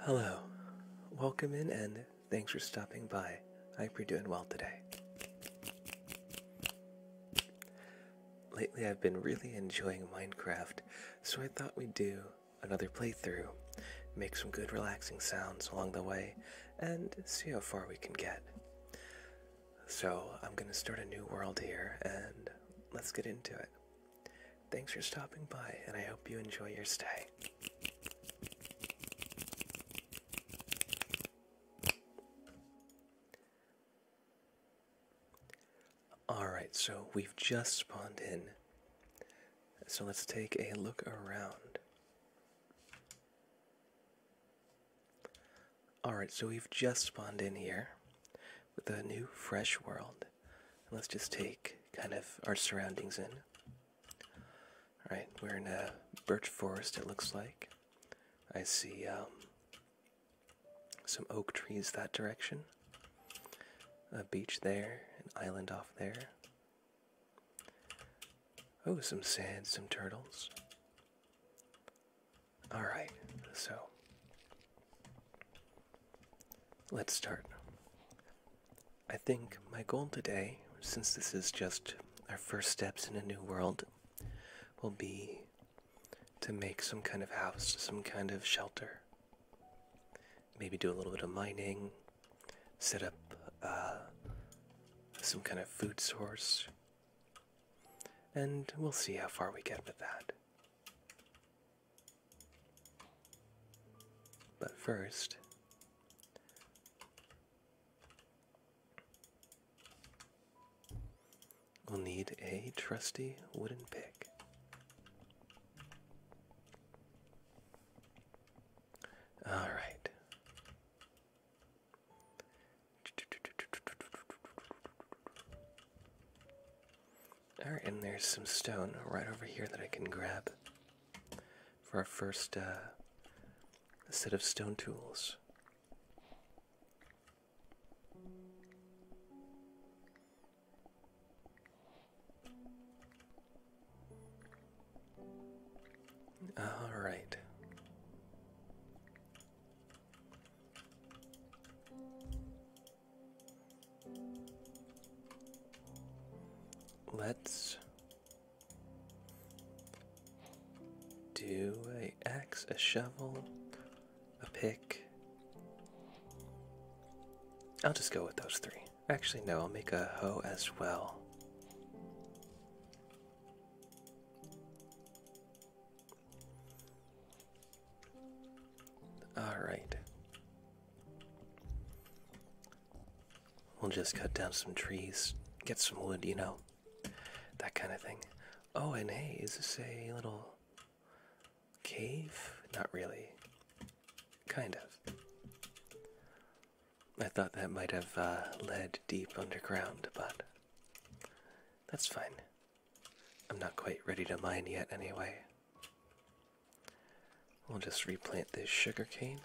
Hello, welcome in and thanks for stopping by. I hope you're doing well today. Lately, I've been really enjoying Minecraft, so I thought we'd do another playthrough, make some good relaxing sounds along the way, and see how far we can get. So, I'm gonna start a new world here and let's get into it. Thanks for stopping by, and I hope you enjoy your stay. Alright, so we've just spawned in. So let's take a look around. Alright, so we've just spawned in here. The new, fresh world. let's just take kind of our surroundings in. All right, we're in a birch forest, it looks like. I see um, some oak trees that direction, a beach there, an island off there. Oh, some sand, some turtles. Alright, so Let's start. I think my goal today, since this is just our first steps in a new world, will be to make some kind of house, some kind of shelter. Maybe do a little bit of mining, set up uh, some kind of food source, and we'll see how far we get with that. But first, we'll need a trusty wooden pick. All right. Alright, and there's some stone right over here that I can grab for our first uh, set of stone tools. All right. Let's do a axe, a shovel, a pick. I'll just go with those three. Actually, no, I'll make a hoe as well. All right. We'll just cut down some trees, get some wood, you know, that kind of thing. Oh, and hey, is this a little cave? Not really. Kind of. I thought that might have uh, led deep underground, but that's fine. I'm not quite ready to mine yet, anyway. We'll just replant this sugarcane.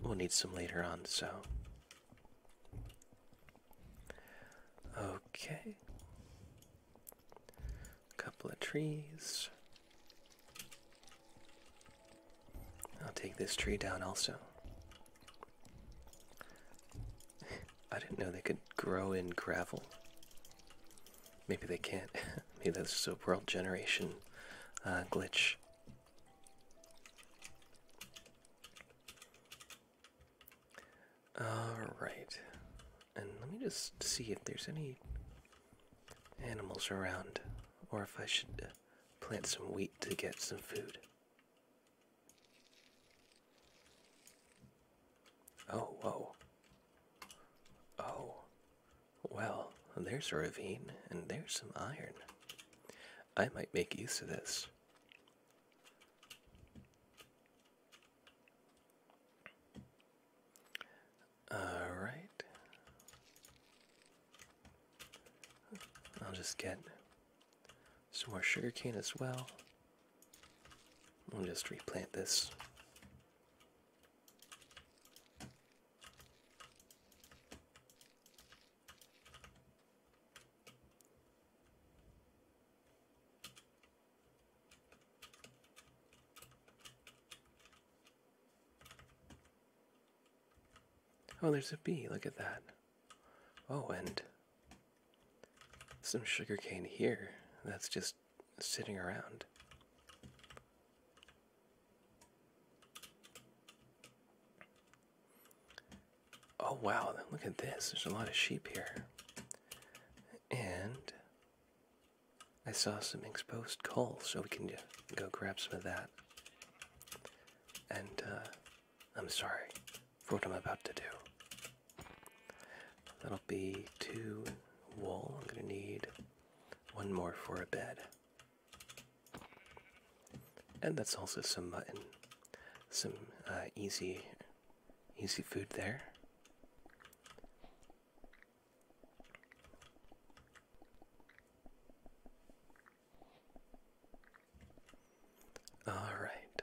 We'll need some later on, so. Okay. Couple of trees. I'll take this tree down also. I didn't know they could grow in gravel. Maybe they can't. Maybe that's just a world generation uh, glitch. Alright. And let me just see if there's any animals around, or if I should uh, plant some wheat to get some food. Oh, whoa. Oh. Well, there's a ravine, and there's some iron. I might make use of this. Alright. I'll just get so more sugar cane as well. We'll just replant this. Oh, there's a bee. Look at that. Oh, and some sugarcane here that's just sitting around. Oh wow, look at this. There's a lot of sheep here. And I saw some exposed coal, so we can go grab some of that. And uh, I'm sorry, for what I'm about to do. That'll be two wool. I'm going to need one more for a bed. And that's also some mutton. Some uh, easy, easy food there. All right.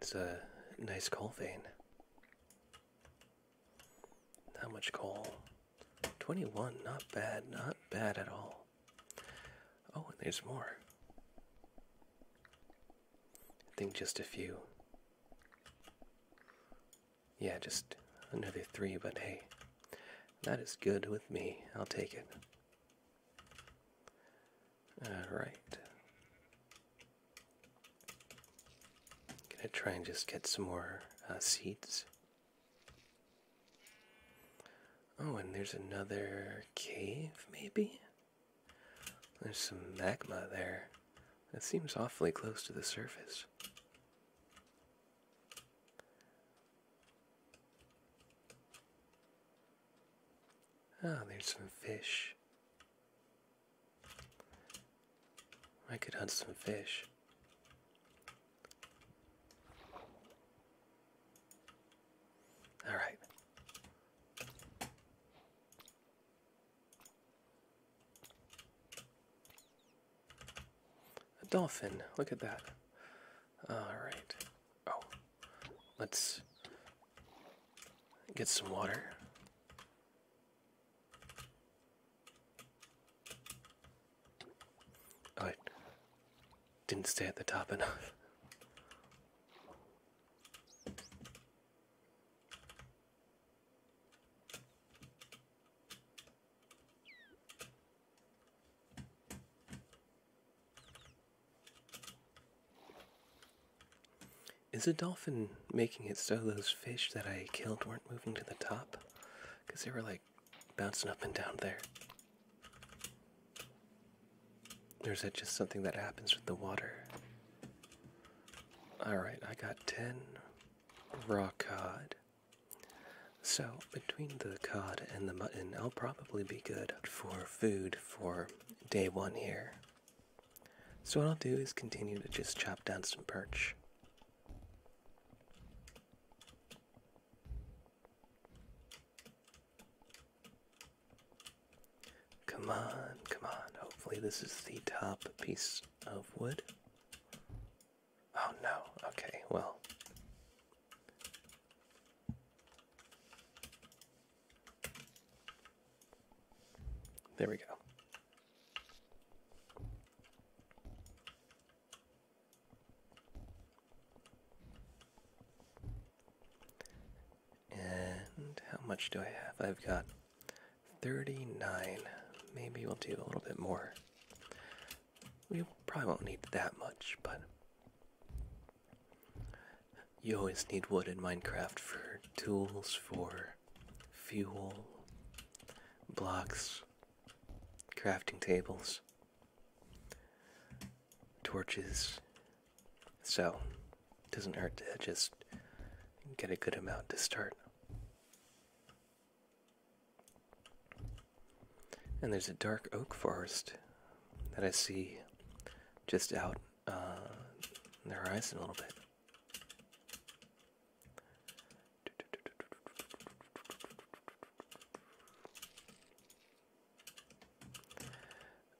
it's a nice coal vein. How much coal? 21, not bad, not bad at all. Oh, and there's more. I think just a few. Yeah, just another three, but hey, that is good with me. I'll take it. All right. Gonna try and just get some more uh, seeds. Oh, and there's another cave, maybe? There's some magma there. That seems awfully close to the surface. Oh, there's some fish. I could hunt some fish. All right. A dolphin. Look at that. All right. Oh, let's get some water. I didn't stay at the top enough. Is a dolphin making it so those fish that I killed weren't moving to the top? Because they were like bouncing up and down there. Or is that just something that happens with the water? Alright, I got 10 raw cod. So, between the cod and the mutton, I'll probably be good for food for day one here. So what I'll do is continue to just chop down some perch. Come on, come on. Hopefully this is the top piece of wood. Oh no, okay, well. There we go. And how much do I have? I've got 39. Maybe we'll do a little bit more. We probably won't need that much, but you always need wood in Minecraft for tools, for fuel, blocks, crafting tables, torches. So, it doesn't hurt to just get a good amount to start. And there's a dark oak forest that I see just out uh, in the horizon a little bit.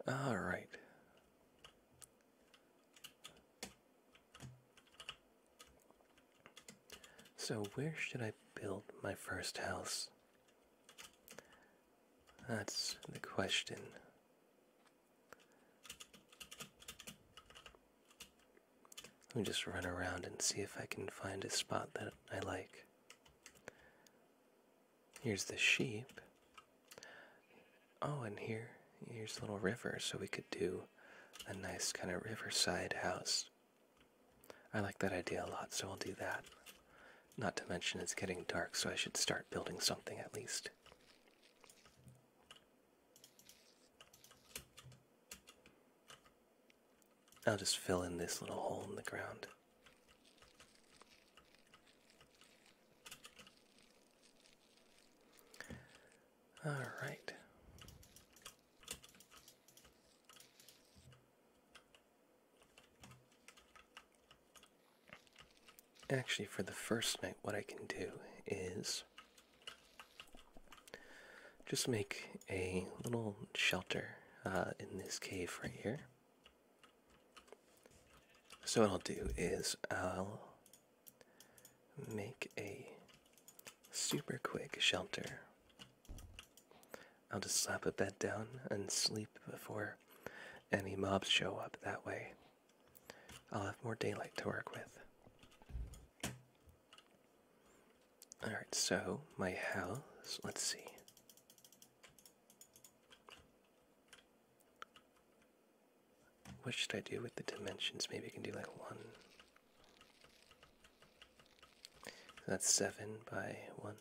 All right. So, where should I build my first house? That's the question. Let me just run around and see if I can find a spot that I like. Here's the sheep. Oh, and here, here's a little river, so we could do a nice kind of riverside house. I like that idea a lot, so I'll do that. Not to mention it's getting dark, so I should start building something at least. I'll just fill in this little hole in the ground. All right. Actually, for the first night, what I can do is just make a little shelter uh, in this cave right here. So, what I'll do is I'll make a super quick shelter. I'll just slap a bed down and sleep before any mobs show up that way. I'll have more daylight to work with. Alright, so my house, let's see. What should I do with the dimensions? Maybe I can do like one. That's seven by one,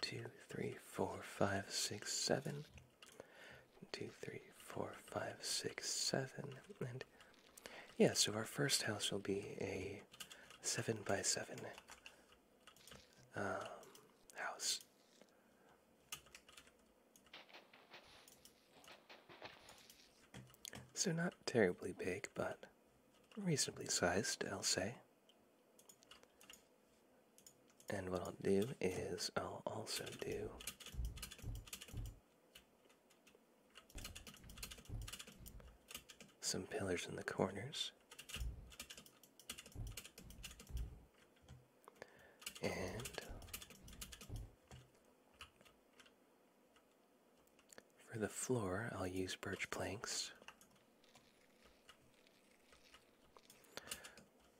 two, three, four, five, six, seven two, three, four, five, six, seven, and yeah, so our first house will be a seven by seven um, house. So not terribly big, but reasonably sized, I'll say. And what I'll do is I'll also do some pillars in the corners. And for the floor, I'll use birch planks.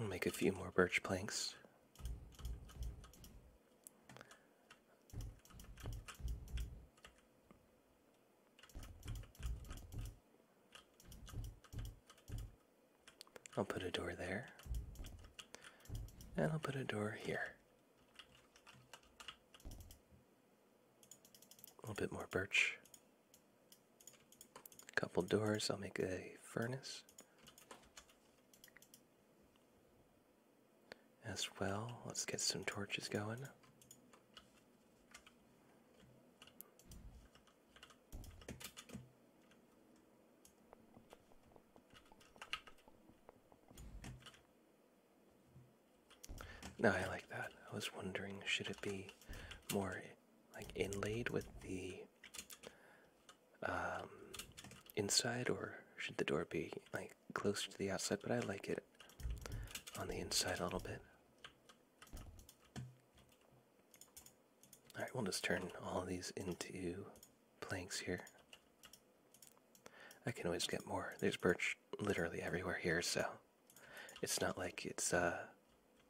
I'll make a few more birch planks. I'll put a door there. And I'll put a door here. A little bit more birch. A couple doors. I'll make a furnace as well. Let's get some torches going. No, I like that. I was wondering, should it be more like inlaid with the um, inside, or should the door be like close to the outside? But I like it on the inside a little bit. Alright, we'll just turn all these into planks here. I can always get more. There's birch literally everywhere here, so it's not like it's uh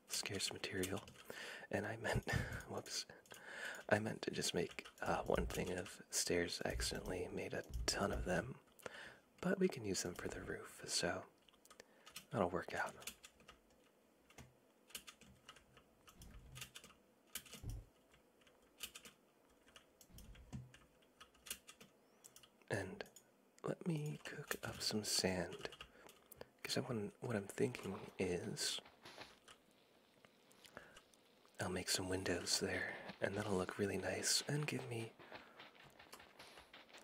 scarce material. And I meant whoops. I meant to just make uh, one thing of stairs. accidentally made a ton of them. But we can use them for the roof, so that'll work out. And let me cook up some sand. Because I want, what I'm thinking is, I'll make some windows there, and that'll look really nice and give me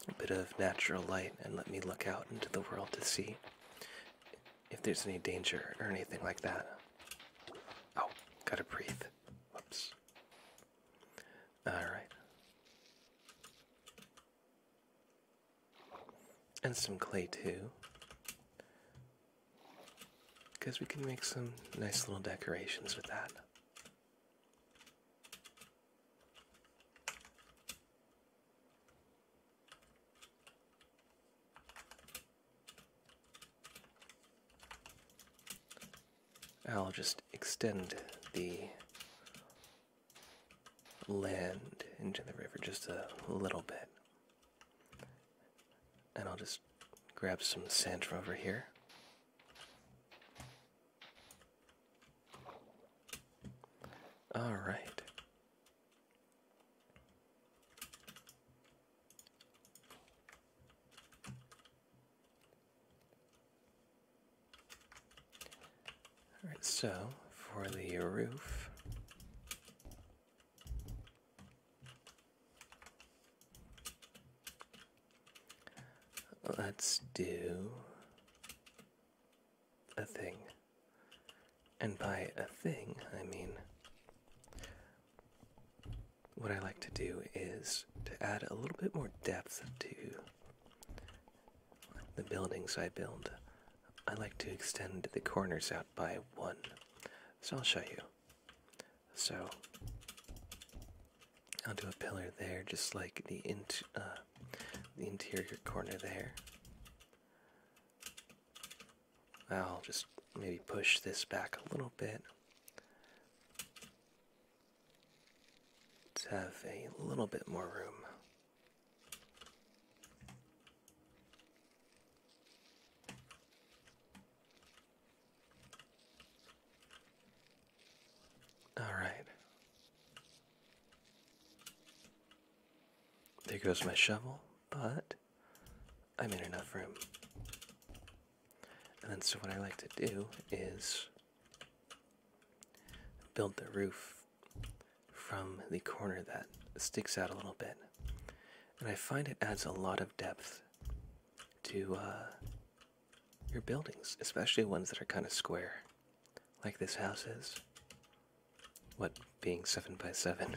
a bit of natural light and let me look out into the world to see if there's any danger or anything like that. Oh, gotta breathe. Whoops. All right. And some clay too. Because we can make some nice little decorations with that. I'll just extend the land into the river just a little bit. And I'll just grab some sand from over here. All right. Alright, so for the roof. Let's do a thing. And by a thing, I mean what I like to do is to add a little bit more depth to the buildings I build, I like to extend the corners out by one. So I'll show you. So I'll do a pillar there, just like the int uh, the interior corner there. I'll just maybe push this back a little bit. Let's have a little bit more room. All right. There goes my shovel, but I am in enough room. And then, so what I like to do is build the roof from the corner that sticks out a little bit. And I find it adds a lot of depth to uh, your buildings, especially ones that are kind of square, like this house is. What being 7 by 7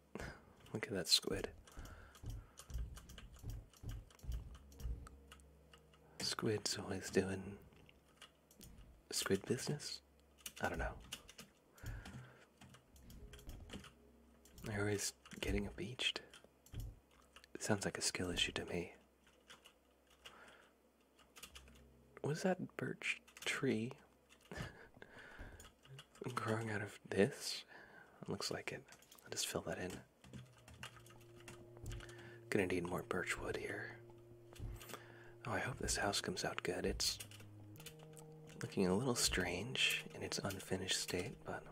Look at that squid. Squid's always doing squid business? I don't know. They're always getting beached. It sounds like a skill issue to me. Was that birch tree? growing out of this? Looks like it. I'll just fill that in. Gonna need more birch wood here. Oh, I hope this house comes out good. It's looking a little strange in its unfinished state, but.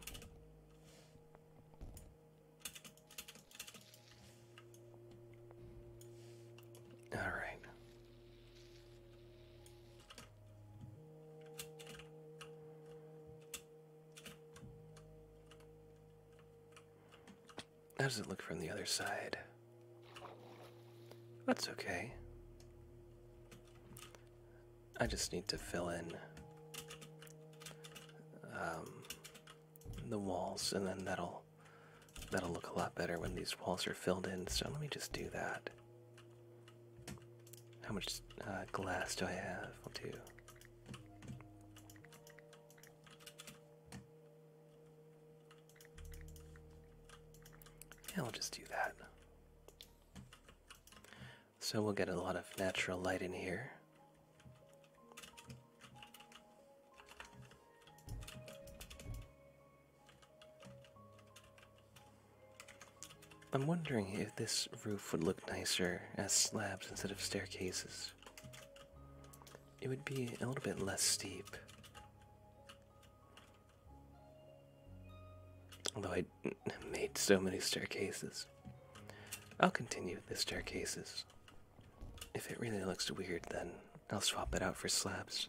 Alright. How does it look from the other side? That's okay. I just need to fill in um, the walls, and then that'll that'll look a lot better when these walls are filled in. So let me just do that. How much uh, glass do I have? I'll do. Yeah, we will just do that. So we'll get a lot of natural light in here. I'm wondering if this roof would look nicer as slabs instead of staircases. It would be a little bit less steep. Although I made so many staircases. I'll continue with the staircases. If it really looks weird, then I'll swap it out for slabs.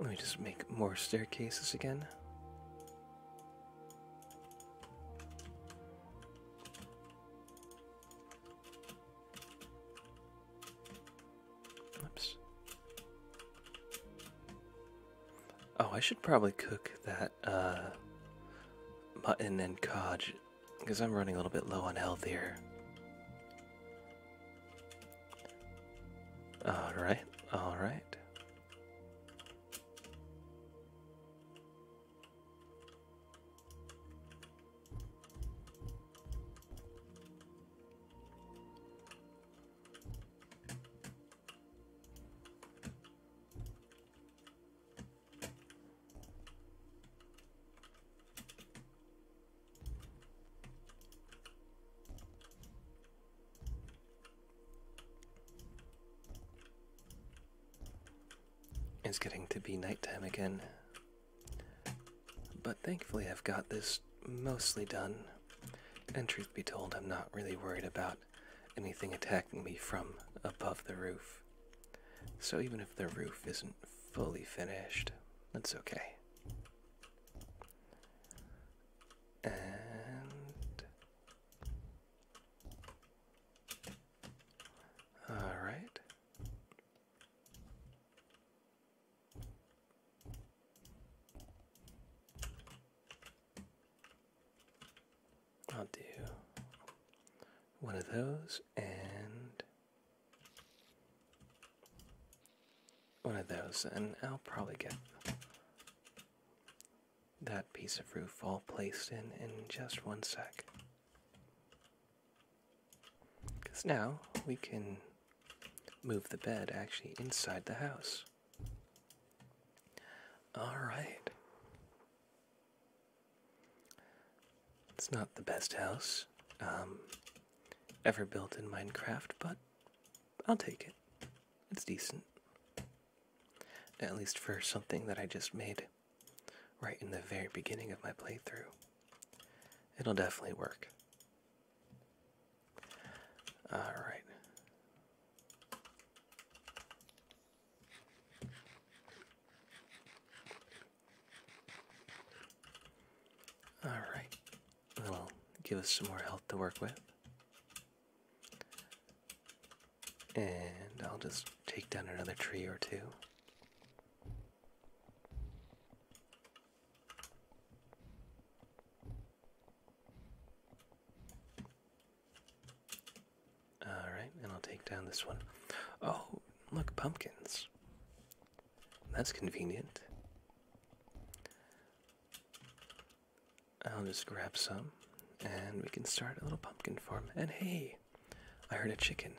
Let me just make more staircases again. Oops. Oh, I should probably cook that uh, mutton and codge because I'm running a little bit low on health here. All right, all right. It's getting to be nighttime again, but thankfully, I've got this mostly done. And truth be told, I'm not really worried about anything attacking me from above the roof. So even if the roof isn't fully finished, that's okay. And. Alright. I'll do one of those and one of those, and I'll probably get that piece of roof all placed in in just one sec. Because now we can move the bed actually inside the house. Alright. It's not the best house um, ever built in Minecraft, but I'll take it. It's decent. At least for something that I just made right in the very beginning of my playthrough. It'll definitely work. Alright. Alright. That'll give us some more health to work with. And I'll just take down another tree or two. All right, and I'll take down this one. Oh, look, pumpkins. That's convenient. I'll just grab some and we can start a little pumpkin farm. And hey, I heard a chicken.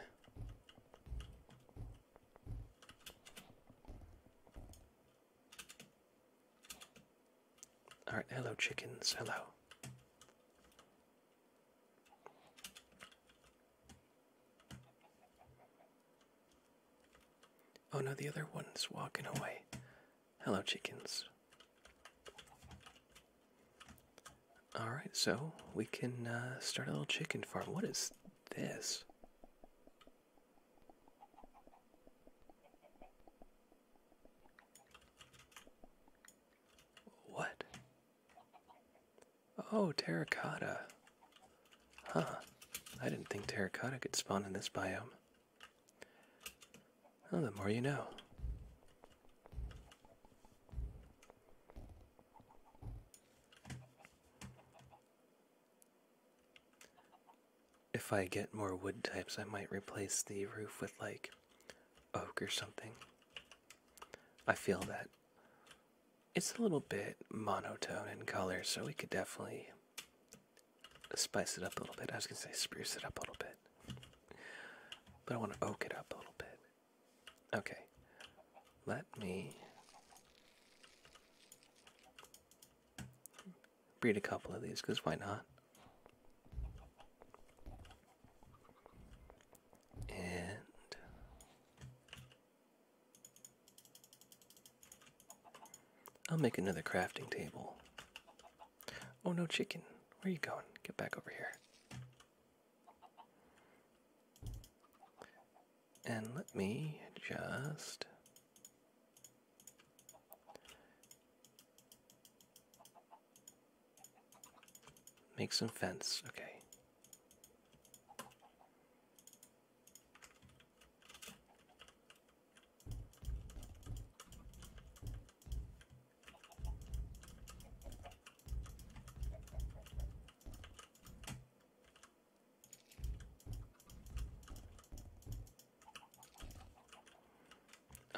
All right, hello chickens, hello. Oh no, the other one's walking away. Hello, chickens. All right, so we can uh, start a little chicken farm. What is this? What? Oh, terracotta. Huh. I didn't think terracotta could spawn in this biome. Well, the more you know. If I get more wood types, I might replace the roof with like oak or something. I feel that it's a little bit monotone in color, so we could definitely spice it up a little bit. I was gonna say spruce it up a little bit, but I want to oak it up a little bit. Okay, let me breed a couple of these because why not? And I'll make another crafting table. Oh no, chicken. Where are you going? Get back over here. And let me just make some fence, okay.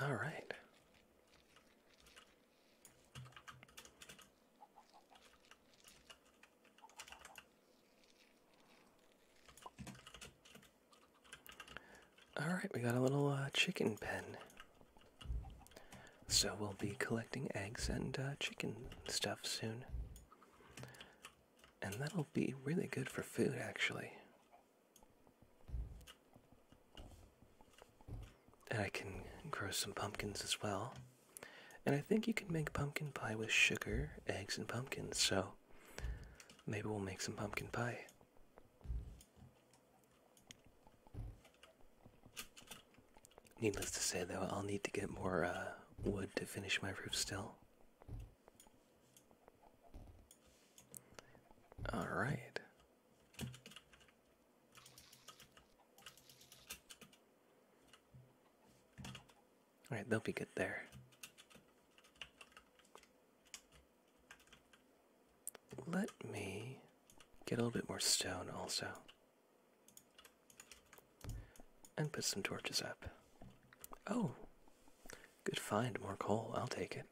All right. All right, we got a little uh, chicken pen. So we'll be collecting eggs and uh, chicken stuff soon. And that'll be really good for food, actually. And I can grow some pumpkins as well. And I think you can make pumpkin pie with sugar, eggs, and pumpkins, so maybe we'll make some pumpkin pie. Needless to say, though, I'll need to get more uh, wood to finish my roof still. All right. All right, they'll be good there. Let me get a little bit more stone also. And put some torches up. Oh, good find, more coal. I'll take it.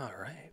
All right.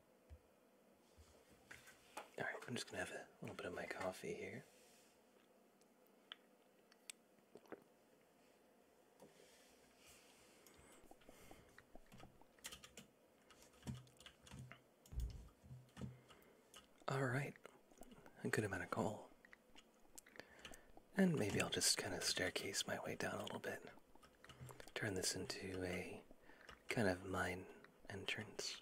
Alright, I'm just going to have a little bit of my coffee here. Alright, a good amount of coal. And maybe I'll just kind of staircase my way down a little bit turn this into a kind of mine entrance.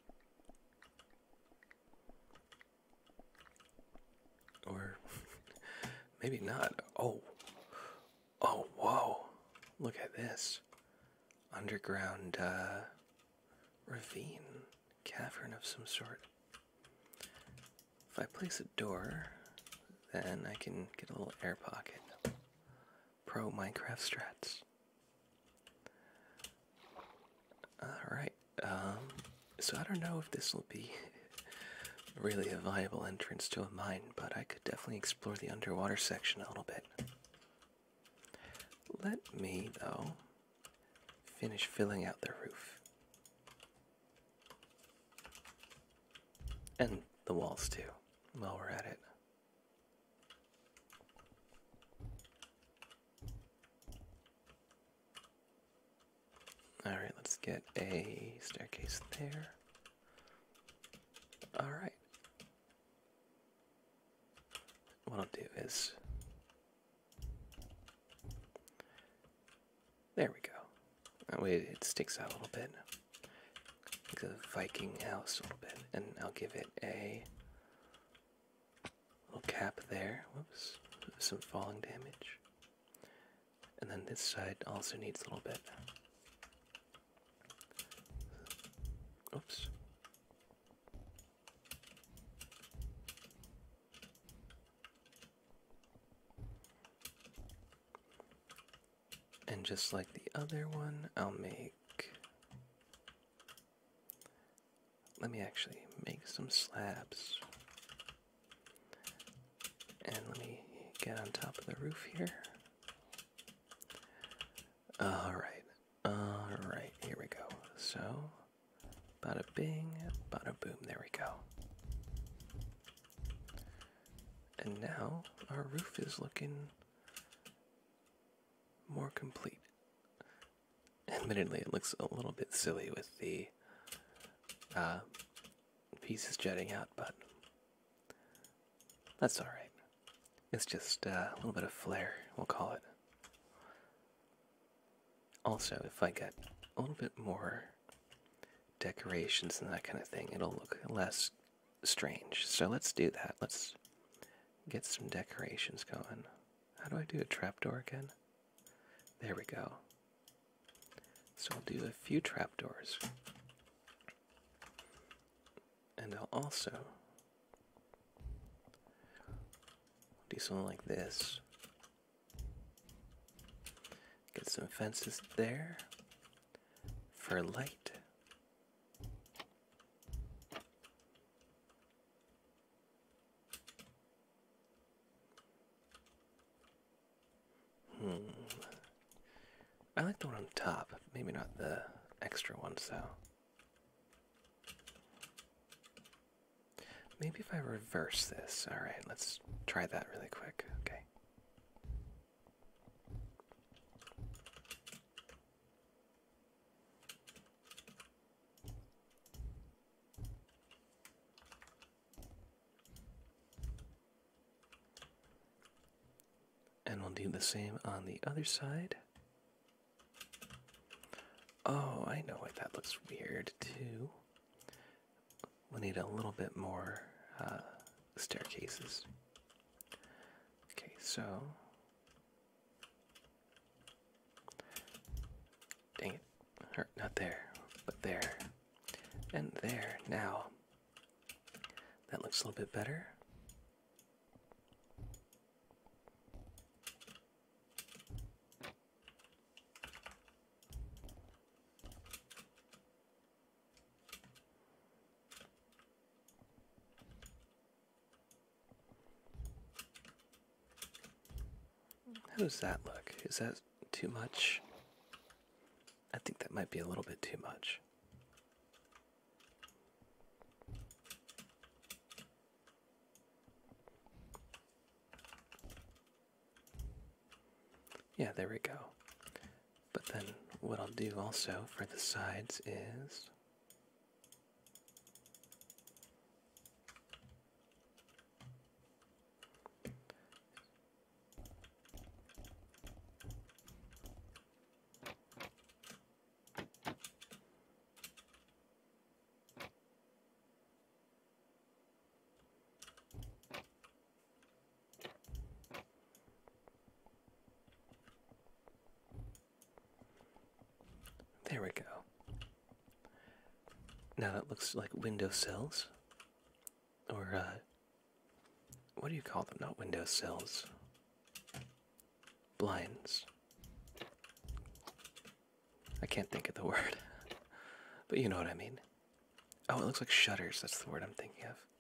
Or maybe not. Oh. Oh, whoa. Look at this. Underground uh, ravine, cavern of some sort. If I place a door, then I can get a little air pocket pro Minecraft strats. Alright, um, so I don't know if this will be really a viable entrance to a mine, but I could definitely explore the underwater section a little bit. Let me, though, finish filling out the roof. And the walls too, while we're at it. Alright, let's get a staircase there. Alright. What I'll do is. There we go. That way it sticks out a little bit the Viking house a little bit, and I'll give it a little cap there. Oops, some falling damage. And then this side also needs a little bit. Oops. And just like the other one, I'll make. Let me actually make some slabs. And let me get on top of the roof here. Alright, alright, here we go. So, bada bing, bada boom, there we go. And now our roof is looking more complete. Admittedly, it looks a little bit silly with the uh, pieces jutting out, but that's alright. It's just uh, a little bit of flair, we'll call it. Also, if I get a little bit more decorations and that kind of thing, it'll look less strange. So let's do that. Let's get some decorations going. How do I do a trapdoor again? There we go. So i will do a few trapdoors. And I'll also do something like this. Get some fences there for light. Hmm. I like the one on top, maybe not the extra one, so. Maybe if I reverse this. Alright, let's try that really quick. Okay. And we'll do the same on the other side. Oh, I know what that looks weird too. we need a little bit more uh, staircases. Okay, so. Dang it. not there, but there. And there, now. That looks a little bit better. How does that look? Is that too much? I think that might be a little bit too much. Yeah, there we go. But then what I'll do also for the sides is there we go. Now that looks like window sills. Or, uh, what do you call them? Not window sills. Blinds. I can't think of the word. but you know what I mean. Oh, it looks like shutters. That's the word I'm thinking of.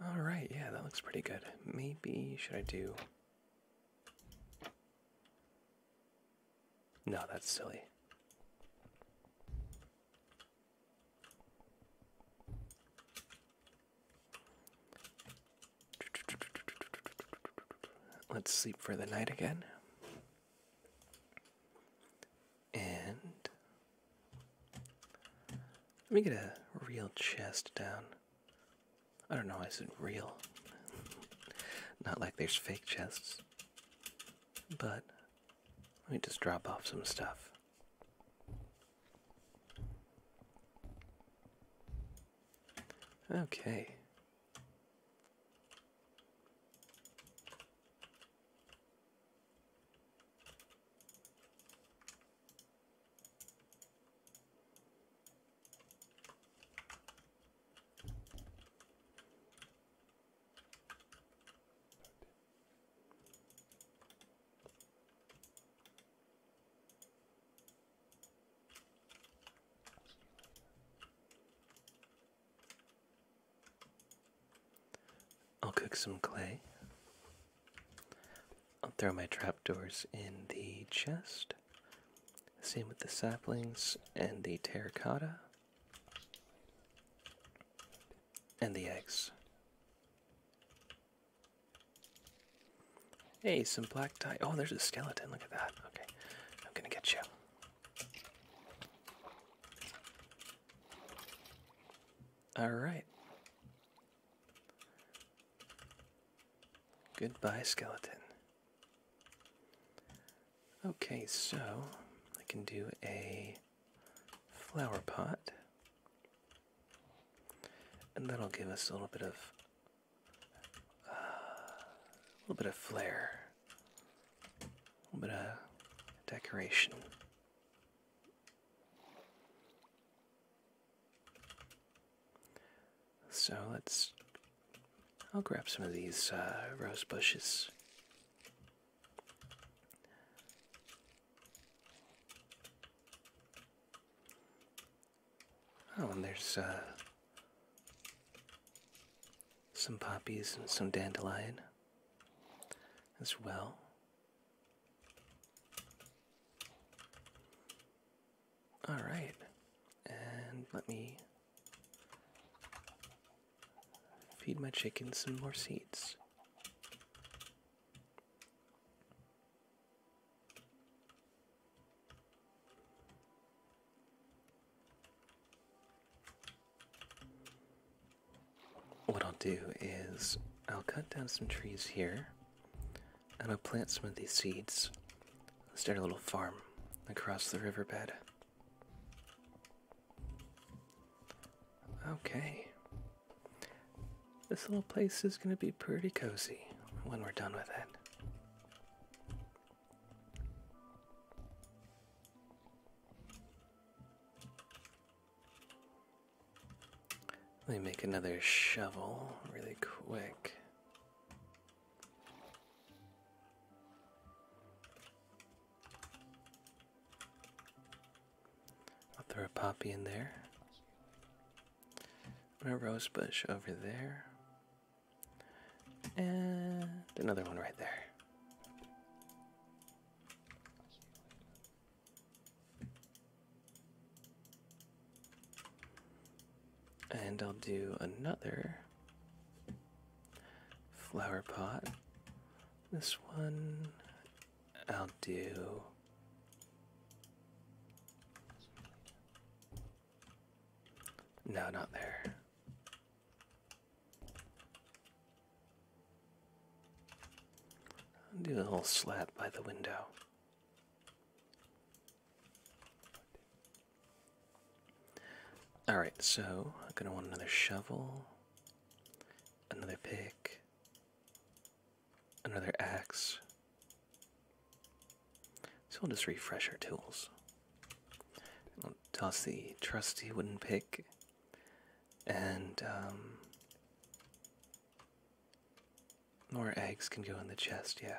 All right, yeah, that looks pretty good. Maybe should I do no, that's silly. Let's sleep for the night again. And let me get a real chest down. I don't know, I said real. Not like there's fake chests but let me just drop off some stuff. Okay. I'll cook some clay. I'll throw my trapdoors in the chest. Same with the saplings and the terracotta. And the eggs. Hey, some black dye. Oh, there's a skeleton. Look at that. Okay, I'm gonna get you. Alright. Goodbye, skeleton. Okay, so I can do a flower pot, and that'll give us a little bit of uh, a little bit of flair, a little bit of decoration. So let's I'll grab some of these uh, rose bushes. Oh, and there's uh, some poppies and some dandelion as well. All right, and let me Feed my chickens some more seeds. What I'll do is I'll cut down some trees here and I'll plant some of these seeds. Start a little farm across the riverbed. Okay. This little place is going to be pretty cozy when we're done with it. Let me make another shovel really quick. I'll throw a poppy in there. Put a rose bush over there. And another one right there. And I'll do another flower pot. This one I'll do. No, not there. I'll do a little slab by the window. Alright, so I'm going to want another shovel, another pick, another axe. So we'll just refresh our tools. I'll toss the trusty wooden pick and um, more eggs can go in the chest, yeah.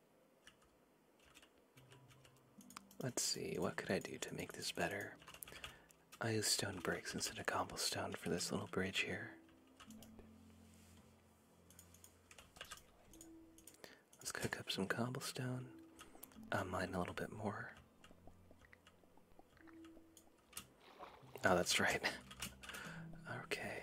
Let's see, what could I do to make this better? I use stone bricks instead of cobblestone for this little bridge here. Let's cook up some cobblestone. i uh, am mine a little bit more. Oh, that's right. okay.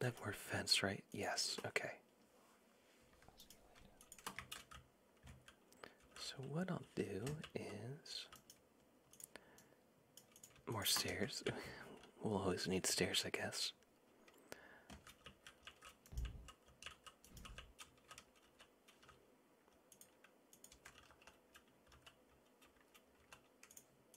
That word fence, right? Yes, okay. So, what I'll do is more stairs. we'll always need stairs, I guess.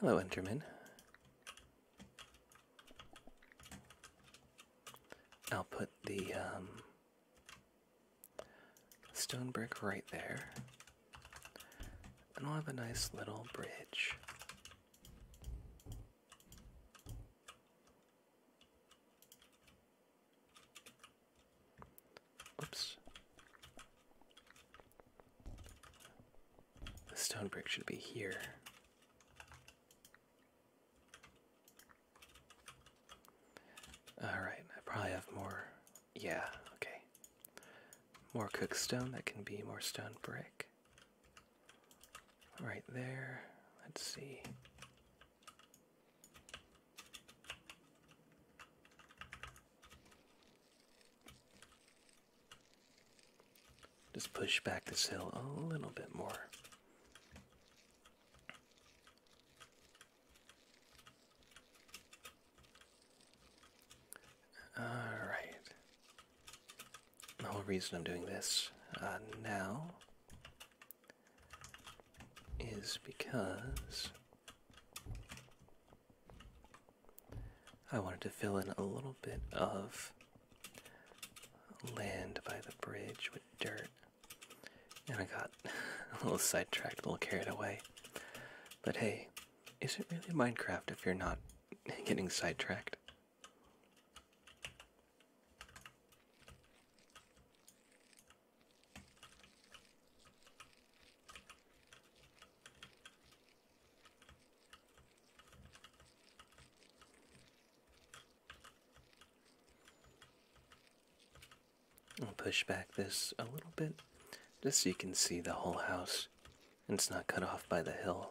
Hello, Enderman. I'll put the um, stone brick right there, and i will have a nice little bridge. Oops. The stone brick should be here. Alright, I probably have more. Yeah, okay. More stone that can be more stone brick. Right there. Let's see. Just push back this hill a little bit more. Alright. The whole reason I'm doing this uh, now is because I wanted to fill in a little bit of land by the bridge with dirt. And I got a little sidetracked, a little carried away. But hey, is it really Minecraft if you're not getting sidetracked? I'll push back this a little bit just so you can see the whole house and it's not cut off by the hill.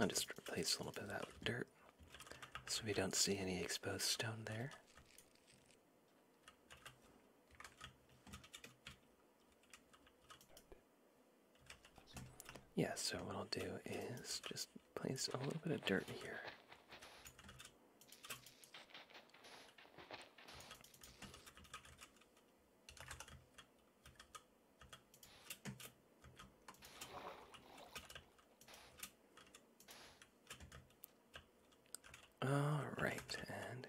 I'll just replace a little bit of that with dirt so we don't see any exposed stone there. Yeah, so what I'll do is just place a little bit of dirt here. All right, and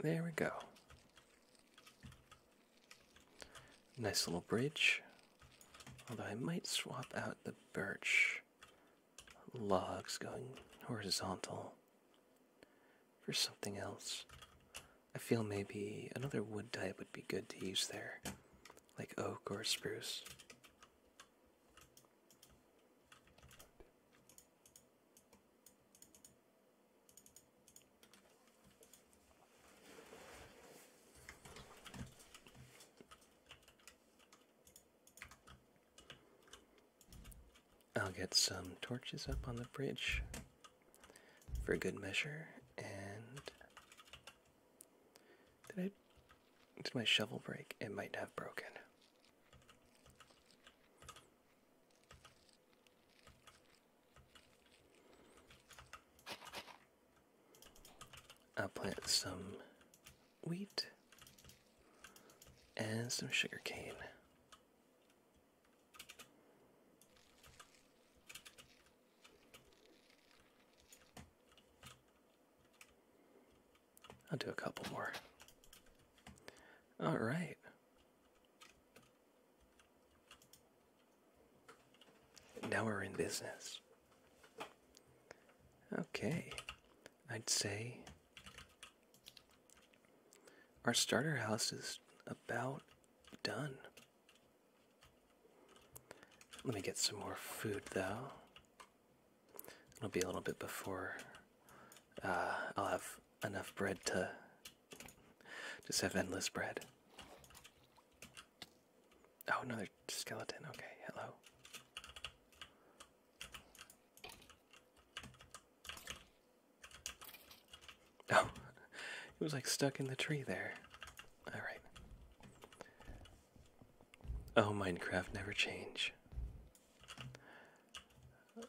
there we go. Nice little bridge. Although I might swap out the birch logs going horizontal for something else. I feel maybe another wood type would be good to use there, like oak or spruce. I'll get some torches up on the bridge for good measure and did I did my shovel break? It might have broken. I'll plant some wheat and some sugar cane. I'll do a couple more. All right. Now we're in business. Okay, I'd say our starter house is about done. Let me get some more food though. It'll be a little bit before uh, I'll have enough bread to just have endless bread. Oh, another skeleton. Okay, hello. Oh, it was like stuck in the tree there. Alright. Oh, Minecraft never change.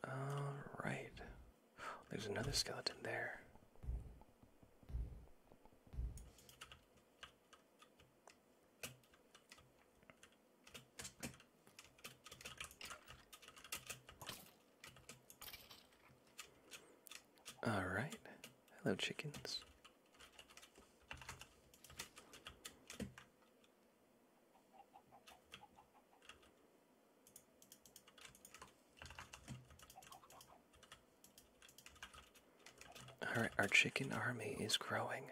Alright. There's another skeleton there. All right. Hello, chickens. Alright, our chicken army is growing.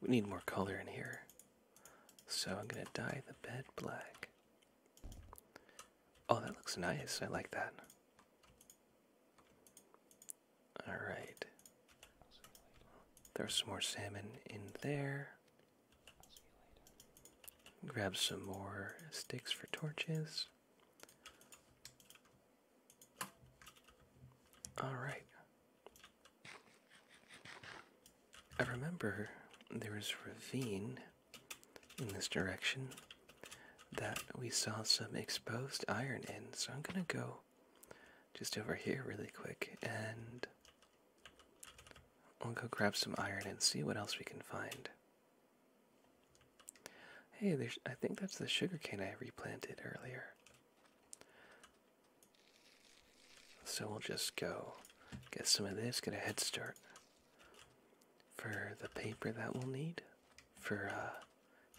We need more color in here. So I'm gonna dye the bed black. Oh, that looks nice. I like that. Alright. There's some more salmon in there. Grab some more sticks for torches. Alright. I remember there is a ravine in this direction that we saw some exposed iron in, so I'm gonna go just over here really quick and we'll go grab some iron and see what else we can find. Hey, there's I think that's the sugarcane I replanted earlier. So we'll just go get some of this, get a head start for the paper that we'll need for uh,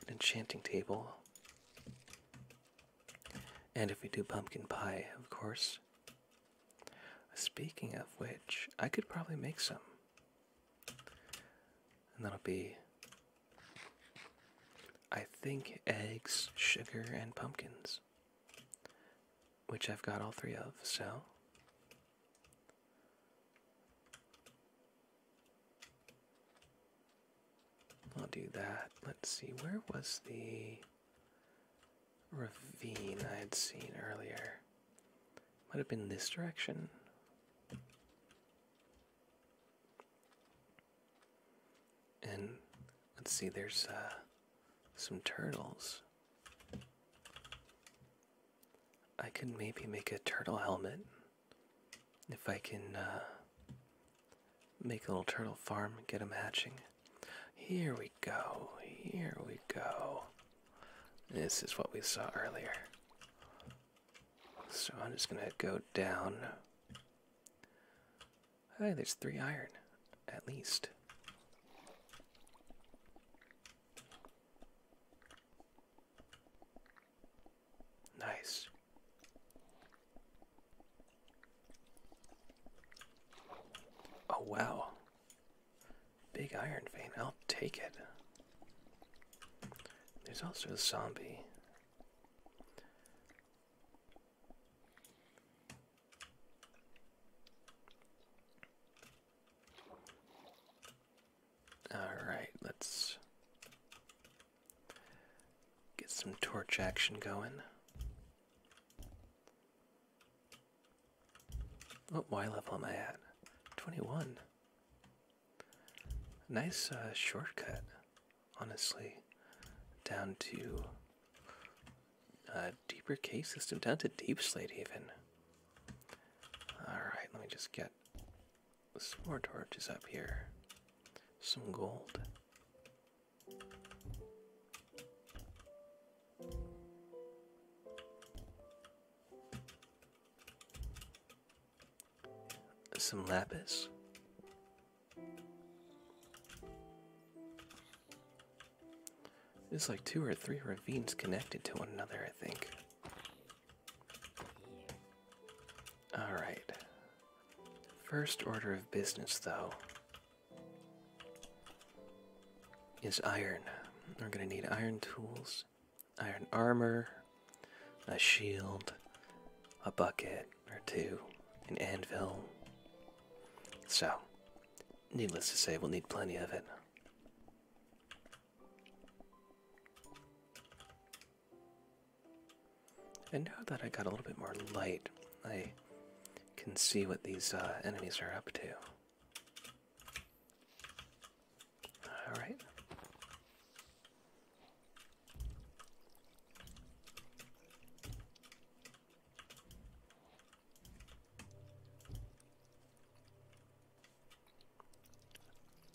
an enchanting table. And if we do pumpkin pie, of course. Speaking of which, I could probably make some. And that'll be, I think, eggs, sugar, and pumpkins which I've got all three of, so. I'll do that. Let's see, where was the ravine I had seen earlier? Might have been this direction. And let's see, there's uh, some turtles. I could maybe make a turtle helmet if I can uh, make a little turtle farm and get them hatching. Here we go, here we go. This is what we saw earlier. So I'm just gonna go down Hey, there's three iron, at least. Nice. Oh, wow. Big iron vein. I'll take it. There's also a zombie. Alright, let's get some torch action going. Oh, what Y level am I at? 21. Nice uh, shortcut honestly, down to a uh, deeper case system, down to Deep Slate even. Alright, let me just get some more torches up here. Some gold. Some lapis. There's like two or three ravines connected to one another, I think. Alright. First order of business, though, is iron. We're going to need iron tools, iron armor, a shield, a bucket or two, an anvil, so, needless to say, we'll need plenty of it. And now that I got a little bit more light, I can see what these uh, enemies are up to. Alright.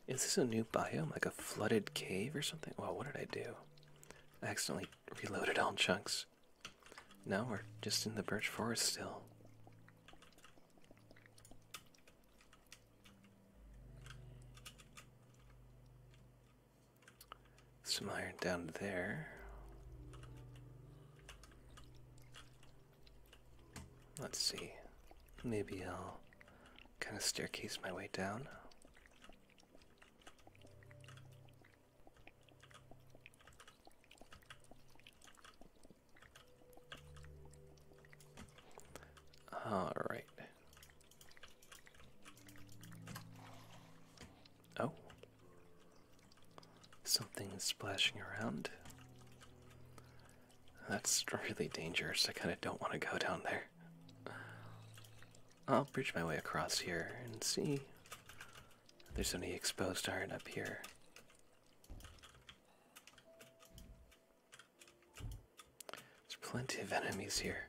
Is this a new biome, like a flooded cave or something? Well, what did I do? accidentally reloaded all chunks. Now we're just in the birch forest still some iron down there. Let's see. Maybe I'll kind of staircase my way down. All right. Oh. Something is splashing around. That's really dangerous. I kind of don't want to go down there. I'll bridge my way across here and see if there's any exposed iron up here. There's plenty of enemies here.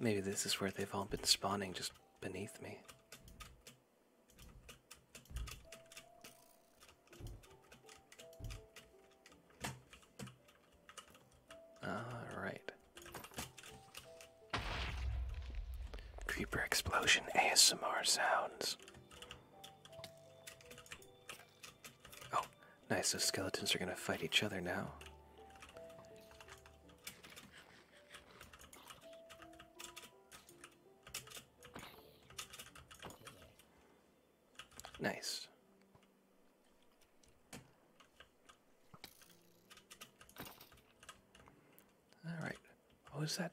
Maybe this is where they've all been spawning just beneath me. All right. Creeper explosion ASMR sounds. Oh, nice. Those skeletons are going to fight each other now. Nice. All right. What was that?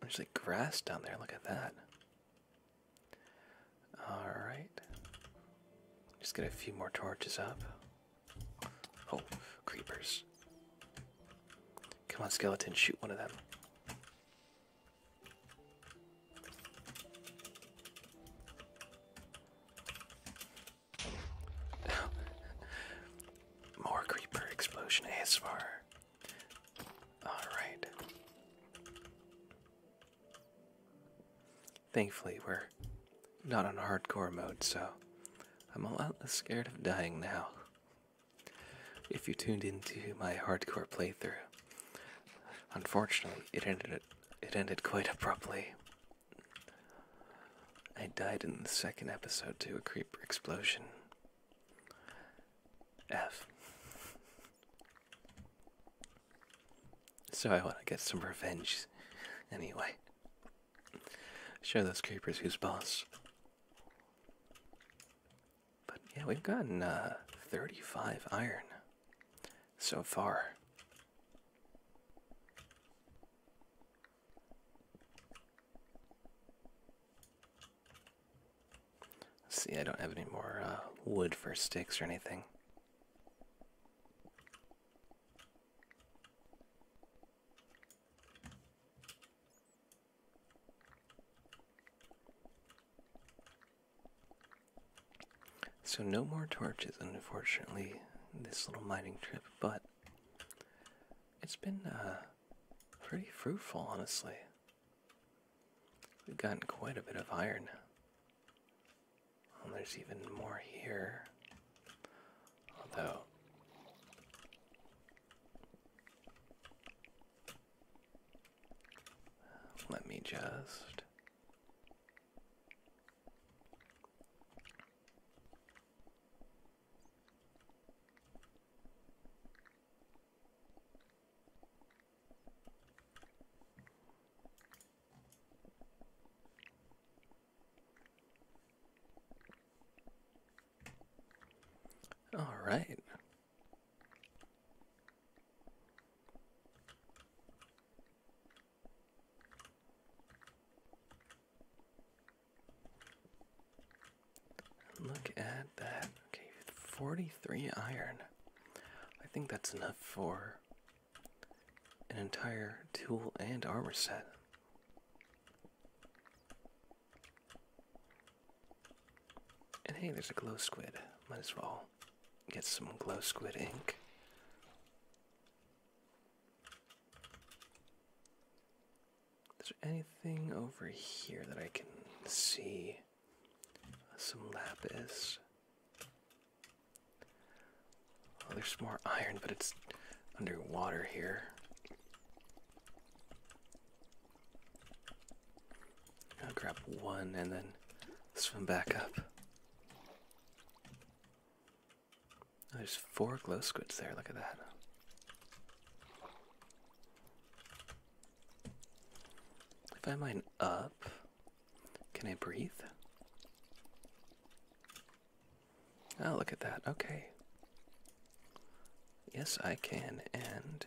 There's like grass down there. Look at that. All right. Just get a few more torches up. Oh, creepers. Come on, skeleton, shoot one of them. More creeper explosion ASMR. Alright. Thankfully, we're not on hardcore mode, so I'm a lot less scared of dying now. If you tuned into my hardcore playthrough, unfortunately, it ended it ended quite abruptly. I died in the second episode to a creeper explosion. F. So I want to get some revenge anyway. Show those creepers who's boss. But yeah, we've gotten uh, 35 iron so far. see, I don't have any more uh, wood for sticks or anything. So, no more torches, unfortunately, this little mining trip, but it's been uh, pretty fruitful, honestly. We've gotten quite a bit of iron. Well, oh, there's even more here. Although. Let me just. All right. Look at that. Okay, 43 iron. I think that's enough for an entire tool and armor set. And hey, there's a glow squid. Might as well get some glow squid ink. Is there anything over here that I can see? Some lapis there's more iron, but it's underwater here. I'll grab one and then swim back up. Oh, there's four glow squids there, look at that. If I mine up, can I breathe? Oh, look at that. Okay. Yes, I can. And.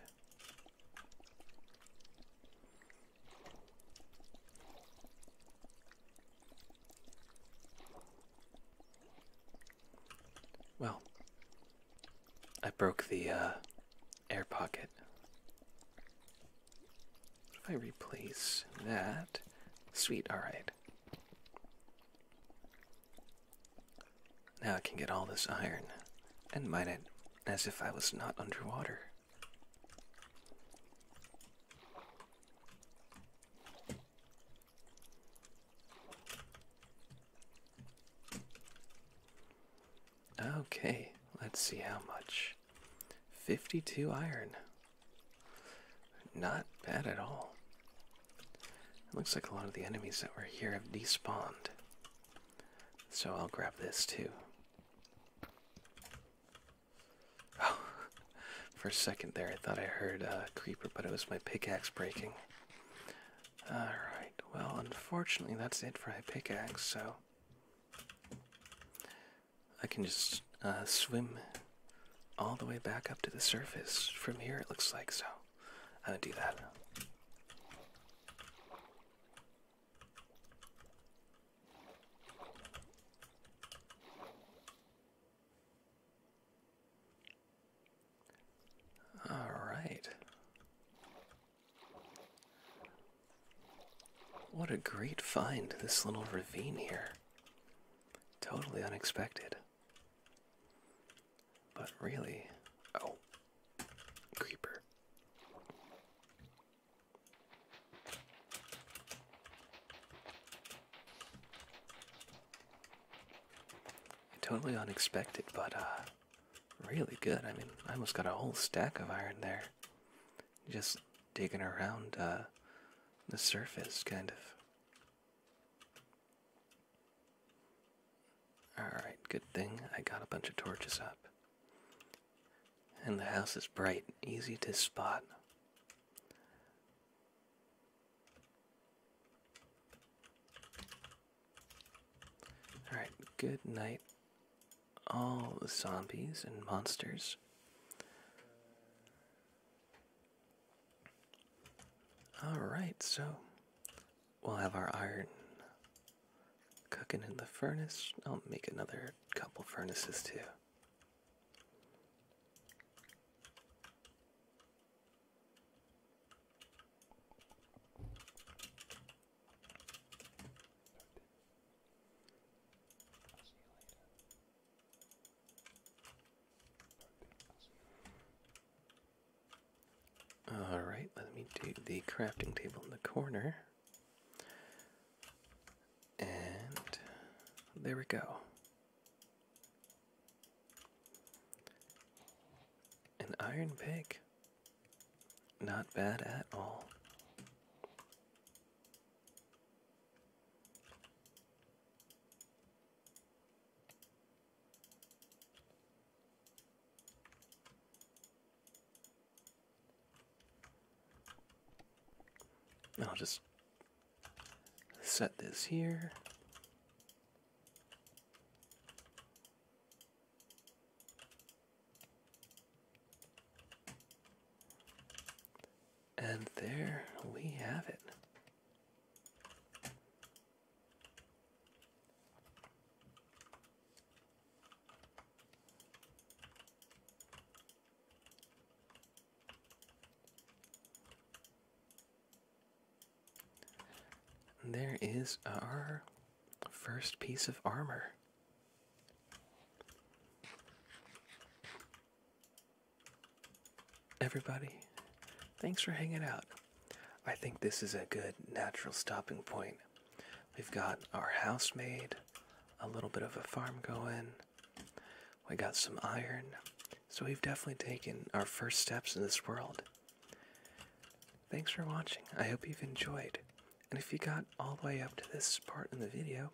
Well, I broke the uh, air pocket. If I replace that, sweet, alright. Now I can get all this iron and mine it as if I was not underwater. Okay, let's see how much. 52 iron. Not bad at all. It looks like a lot of the enemies that were here have despawned. So I'll grab this too. for a second there, I thought I heard a creeper, but it was my pickaxe breaking. Alright, well, unfortunately, that's it for my pickaxe, so. I can just uh, swim all the way back up to the surface from here, it looks like, so I'm gonna do that. All right. What a great find, this little ravine here. Totally unexpected. But really, oh, creeper. Totally unexpected, but uh, really good. I mean, I almost got a whole stack of iron there. Just digging around uh, the surface, kind of. Alright, good thing I got a bunch of torches up. And the house is bright, easy to spot. Alright, good night, all the zombies and monsters. All right, so we'll have our iron cooking in the furnace. I'll make another couple furnaces too. Alright, let me do the crafting table in the corner. And there we go. An iron pick. Not bad at all. And I'll just set this here. And there we have it. there is our first piece of armor. Everybody, thanks for hanging out. I think this is a good natural stopping point. We've got our house made, a little bit of a farm going, we got some iron, so we've definitely taken our first steps in this world. Thanks for watching. I hope you've enjoyed. And if you got all the way up to this part in the video,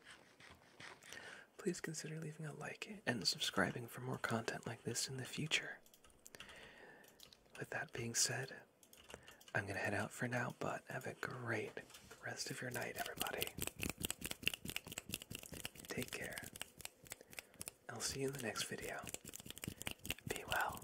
please consider leaving a like and subscribing for more content like this in the future. With that being said, I'm going to head out for now, but have a great rest of your night, everybody. Take care. I'll see you in the next video. Be well.